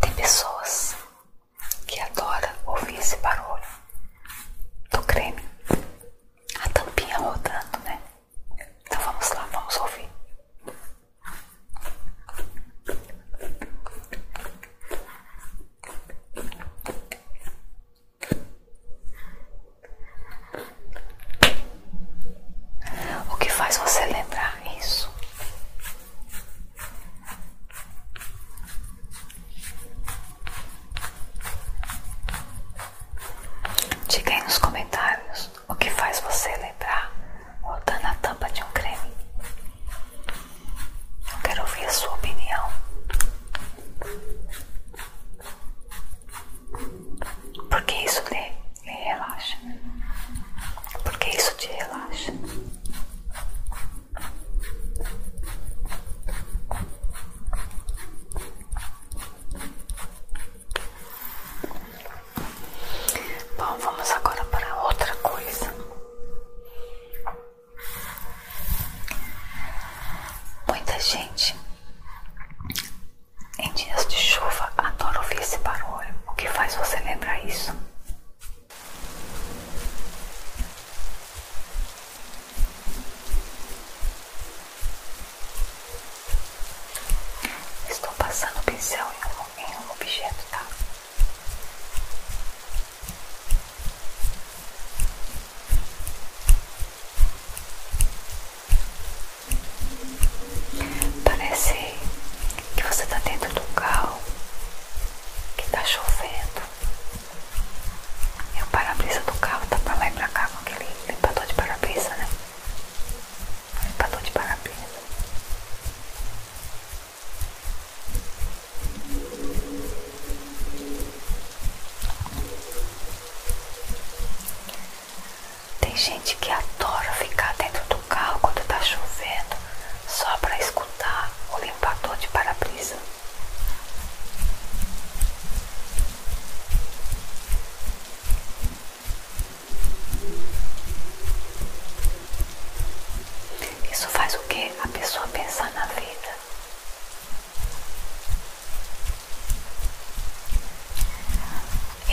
Tem pessoas que adoram ouvir esse barulho do creme, a tampinha rodando, né? Então vamos lá, vamos ouvir. O que faz você lembrar? tirar isso. Diga aí nos comentários o que faz você lembrar voltando a tampa de um creme. Eu quero ouvir a sua opinião. Por que isso, Nê? e relaxa, porque isso te relaxa. Bom, vamos agora para outra coisa. Muita gente em dias de chuva adora ouvir esse barulho. O que faz você lembrar isso? Estou passando o pincel em um, em um objeto, tá? Parece que você está dentro do carro, que está chovendo. E o parabrisa do carro tá para lá e para cá com aquele limpador de parabrisa, né? Limpador de parabrisa. Tem gente que adora ficar dentro do carro quando está chovendo só para escutar o limpador de para-brisa. Isso faz o que? A pessoa pensar na vida.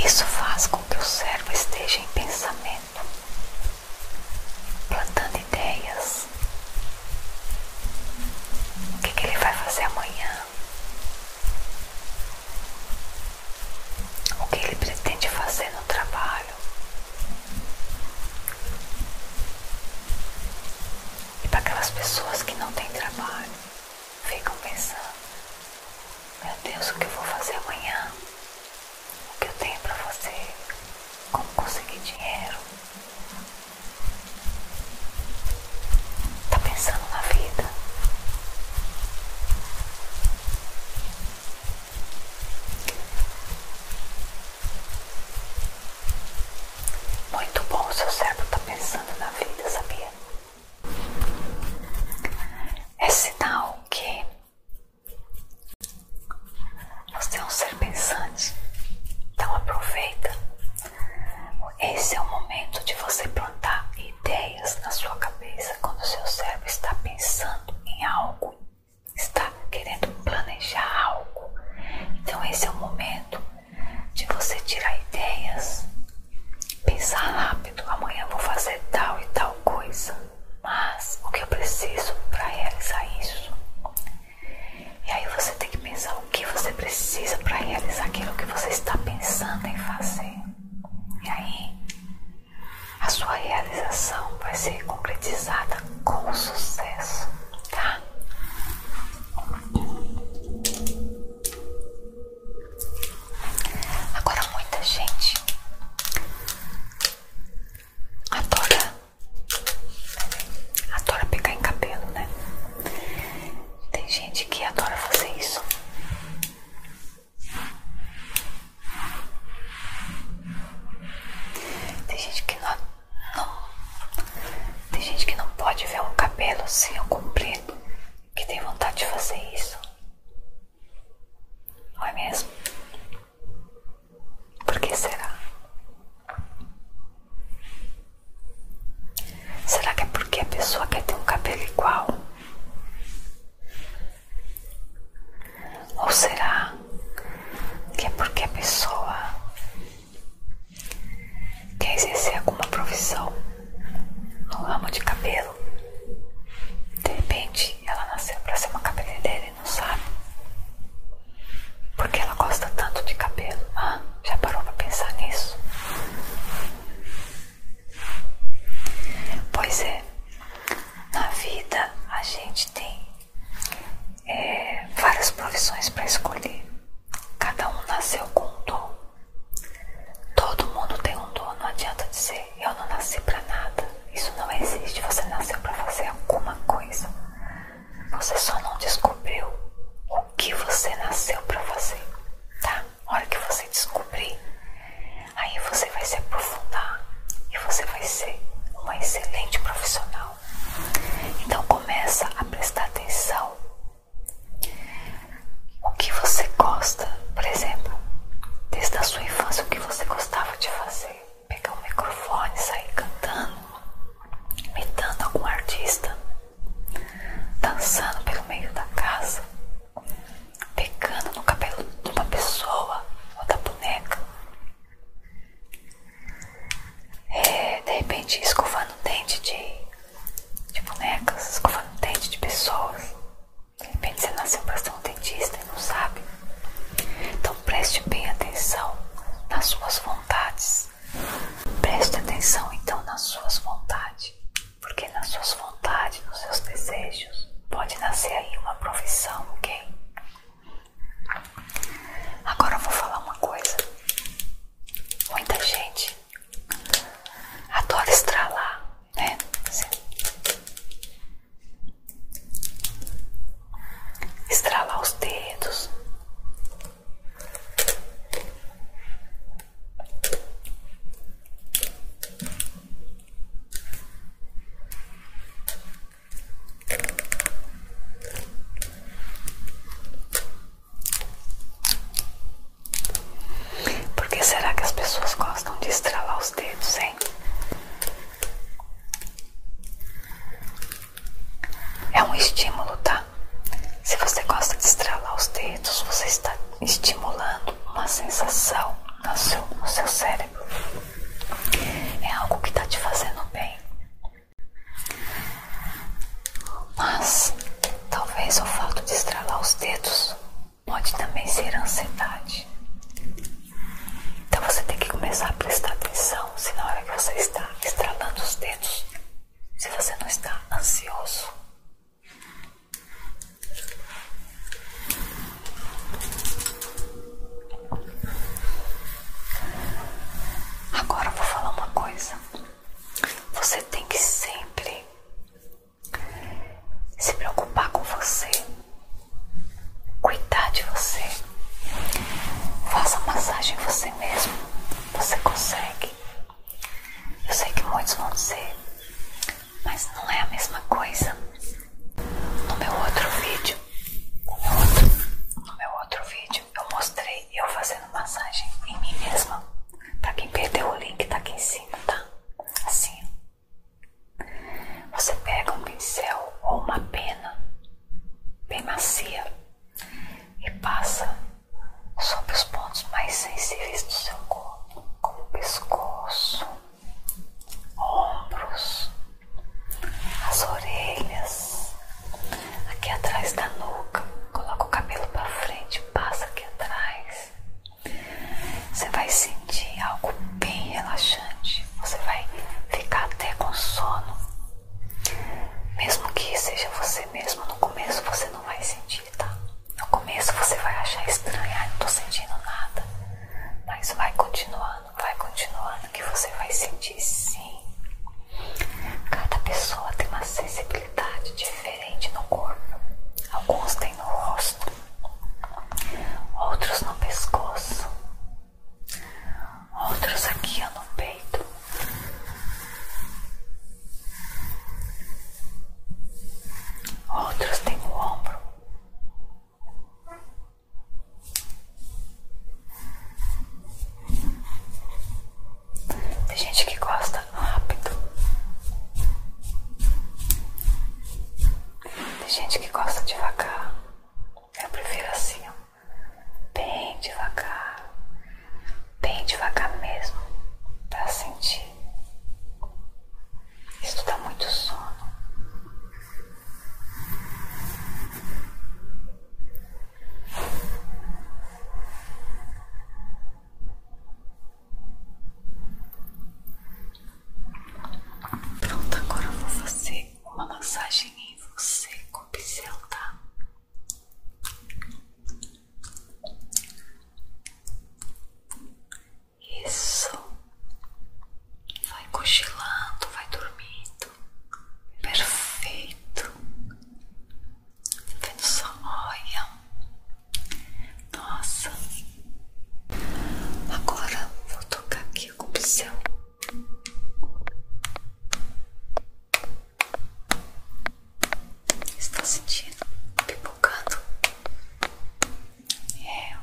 Isso faz com que o cérebro esteja em pensamento plantando ideias. O que, ele vai fazer amanhã? O que ele pretende fazer no trabalho? E para aquelas pessoas que não têm trabalho, ficam pensando: Meu Deus, o que eu vou fazer amanhã? o que eu tenho para você, como conseguir dinheiro. Tá pensando na vida? Muito bom, seu cérebro tá pensando na vida, sabia? É sinal que você é um ser pensante, então aproveita. Esse é o momento de você plantar ideias na sua cabeça quando o seu cérebro está pensando em algo, está querendo planejar algo. Então, esse é o momento de você tirar ideias, pensar rápido: amanhã vou fazer tal e tal coisa mas o que eu preciso para realizar isso? E aí você tem que pensar o que você precisa para realizar aquilo que você está pensando em fazer. E aí a sua realização vai ser concretizada com sucesso, tá? Agora muita gente adora adora pegar em cabelo, né? Tem gente que adora fazer isso. Tem gente que não, tem gente que não pode ver um cabelo sem eu cumprir que tem vontade de fazer isso. Não é mesmo? Por que será? Será que é porque a pessoa quer ter um cabelo igual? Ou será que é porque a pessoa quer exercer alguma profissão no ramo de cabelo? de repente ela nasceu para ser uma cabeleireira e não sabe. Porque ela gosta tanto de cabelo. Ah, já parou para pensar nisso? Pois é, na vida a gente tem é, várias profissões para escolher. Cada um nasceu com um dom. Todo mundo tem um dom, não adianta dizer eu não nasci pra nada. Isso não existe. Você nasceu pra fazer alguma coisa. Você só não descobriu o que você nasceu pra fazer, tá? A hora que você descobrir, aí você vai se aprofundar e você vai ser uma excelente profissional. Então começa a prestar atenção o que você gosta, por exemplo, desde a sua infância o que você gostava gostava de fazer? Pegar o um microfone sair cantando, imitando algum artista, dançando pelo meio da casa, pegando no cabelo de uma pessoa ou da boneca, é, de repente escovando o dente de, bonecas, escovando o dente de pessoas. De repente você nasceu para ser um dentista e não sabe. Então preste bem atenção nas suas vontades. Preste atenção então nas suas vontades. Porque nas suas vontades, nos seus desejos, pode nascer aí uma profissão, ok? Agora eu vou falar uma coisa. Muita gente adora lá né? Estralar os dedos. Por que será que as pessoas gostam de estralar os dedos, hein? É um estímulo, tá? Se você gosta de estralar os dedos, você está estimulando uma sensação no seu, no seu cérebro. É algo que está te fazendo bem. Mas talvez o fato de estralar os dedos pode também ser ansiedade. Então você tem que começar a prestar atenção se na hora que você está estralando os dedos, se você não está ansioso. Agora eu vou falar uma coisa. Você tem que sempre se preocupar com você, cuidar de você. Faça massagem você mesmo, você consegue. Eu sei que muitos vão dizer, mas não é a mesma coisa. No meu outro vídeo, no meu outro, no meu outro vídeo, eu mostrei eu fazendo massagem em mim mesma. Pra quem perdeu o link, tá aqui em cima, tá? Assim, você pega um pincel ou uma pena bem macia e passa sobre os pontos mais sensíveis do seu corpo, como o pescoço, ombros, as orelhas, aqui atrás da nuca. Coloca o cabelo para frente, passa aqui atrás. Você vai sentir gente, algo bem relaxante. Você vai ficar até com sono. Mesmo que seja você mesmo, no começo você não vai sentir, tá? No começo você vai achar estranho, ah, não tô sentindo nada. Mas vai continuando, vai continuando que você vai sentir sim. Cada pessoa tem uma sensibilidade diferente no corpo. Alguns têm no rosto, outros no pescoço, outros aqui no peito. Outros tem o ombro. Tem gente que gosta rápido. Tem gente que gosta devagar. Eu prefiro assim, Bem devagar. Bem devagar mesmo. Pra sentir. Isso dá muito sono. Pronto, agora eu vou fazer uma massagem em você com o pincel, tá? Isso. Vai cochilando, vai dormindo. Perfeito. Tá vendo só? Olha. Nossa. Agora vou tocar aqui que céu Está sentindo pipocando? É eu,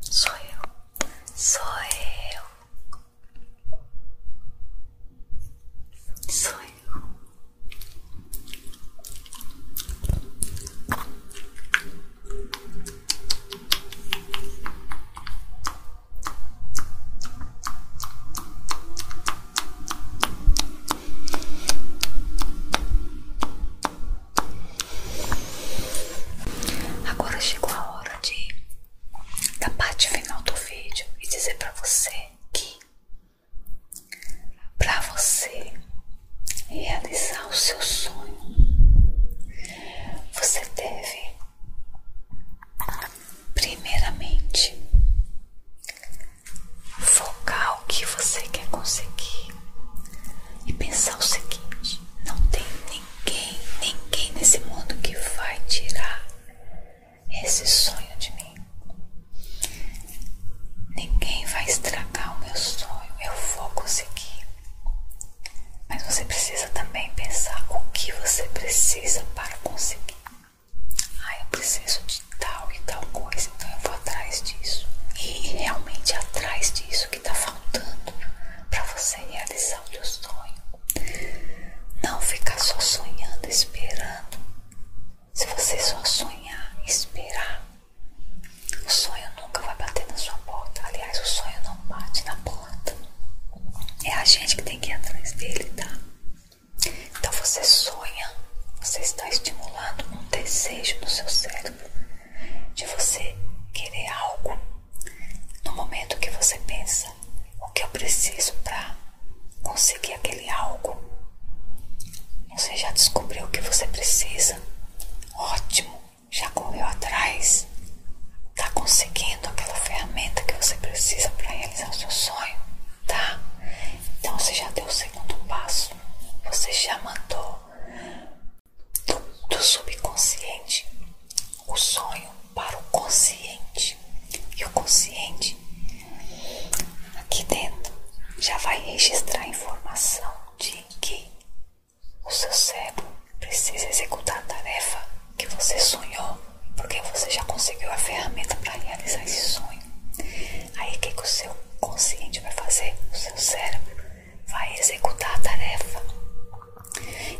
sou eu, sou eu, sou eu. Agora chegou a hora de da parte final do vídeo e dizer para você que para você realizar o seu sonho você deve, primeiramente, focar o que você quer conseguir e pensar o seguinte: não tem ninguém, ninguém nesse mundo que vai tirar esse sonho de mim. Ninguém vai estragar o meu sonho, eu vou conseguir. Mas você precisa também pensar o que você precisa para conseguir. Ah, eu preciso de tal e tal coisa, então eu vou atrás disso. E realmente atrás disso que está faltando para você realizar o seu sonho. Não ficar só sonhando, esperando. Se você só sonhar, esperar, o sonho nunca vai bater na sua porta. Aliás, o sonho não bate na porta. É a gente que tem que ir atrás dele, tá? Então você sonha, você está estimulando um desejo no seu cérebro de você querer algo. No momento que você pensa o que eu preciso para conseguir aquele algo, você já descobriu o que você precisa. Ótimo! já correu atrás, tá conseguindo aquela ferramenta que você precisa para realizar o seu sonho, tá? Então você já deu o segundo passo, você já mandou do, do subconsciente o sonho para o consciente e o consciente aqui dentro já vai registrar a informação de que o seu cérebro precisa executar a tarefa que você sonhou, porque você já conseguiu a ferramenta para realizar esse sonho. Aí o que, que o seu consciente vai fazer? O seu cérebro vai executar a tarefa.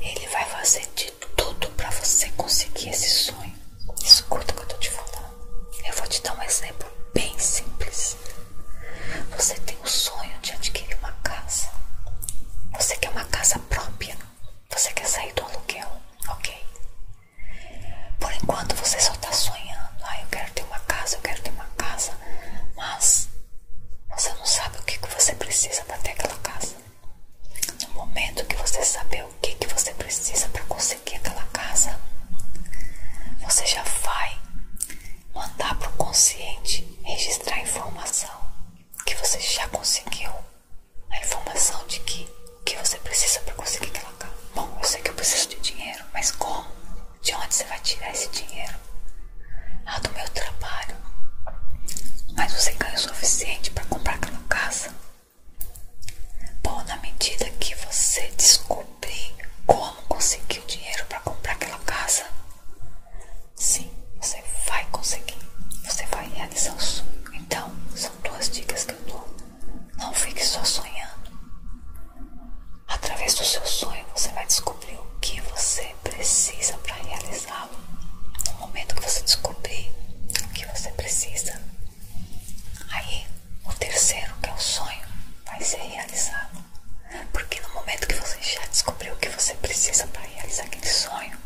Ele vai fazer de tudo para você conseguir esse sonho. Escuta o que eu estou te falando. Eu vou te dar um exemplo bem simples. Você o sonho de adquirir uma casa. Você quer uma casa própria. Você quer sair do aluguel, ok? Por enquanto você só está sonhando. Ah, eu quero ter uma casa, eu quero ter uma casa. Mas você não sabe o que, que você precisa para ter aquela casa. No momento que você saber o que, que você precisa para conseguir aquela casa, você já vai mandar para o consciente registrar a informação que você já conseguiu a informação de que o que você precisa para conseguir aquela casa. Bom, eu sei que eu preciso de dinheiro, mas como? De onde você vai tirar esse dinheiro? Ah, do meu trabalho. Mas você ganha o suficiente para comprar aquela casa? Bom, na medida que você descobrir como conseguir o dinheiro para comprar aquela casa, Sim, você vai conseguir. Você vai realizar o sonho. Então, são duas dicas que eu dou. Não fique só sonhando. Através do seu sonho, você vai descobrir o que você precisa para realizá-lo. No momento que você descobrir o que você precisa, aí o terceiro, que é o sonho, vai ser realizado. Porque no momento que você já descobriu o que você precisa para realizar aquele sonho,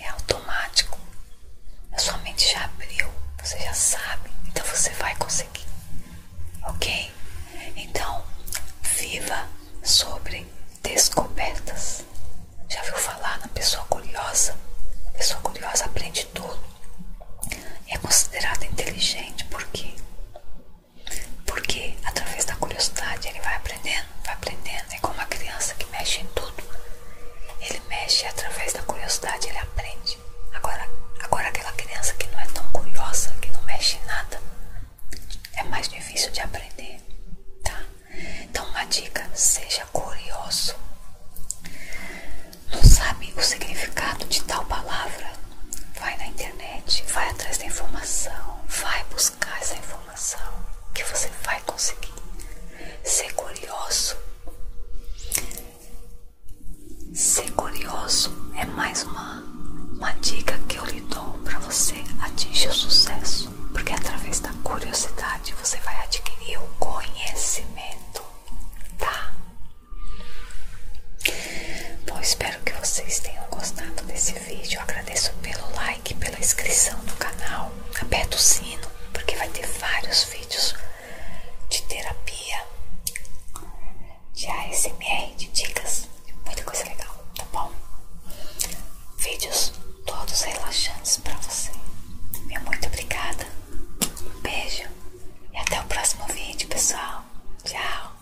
é automático. A sua mente já abriu, você já sabe, então você vai conseguir. Ok? Então, viva sobre descobertas. Já viu falar na pessoa curiosa? A pessoa curiosa aprende tudo. É considerada inteligente porque porque através da curiosidade ele vai aprendendo, vai aprendendo. É como uma criança que mexe em tudo. Ele mexe através da curiosidade, ele aprende. Agora, agora aquela criança que não é tão curiosa, que não mexe em nada, é mais difícil de aprender, tá? Então uma dica, seja curioso. Não sabe o significado de tal palavra? Vai na internet, vai atrás da informação, vai buscar essa informação informação que você vai conseguir ser curioso. Ser curioso é mais uma, uma dica que eu lhe dou para você atingir o sucesso, porque através da curiosidade você vai adquirir o conhecimento, tá? Bom, espero que vocês tenham gostado desse vídeo. agradeço pelo like, pela inscrição no canal. Aperta o sino, porque vai ter vários vídeos de terapia, de ASMR, de dicas, muita coisa legal, tá bom? Vídeos todos relaxantes para você. muito obrigada. beijo e até o próximo vídeo, pessoal. Tchau.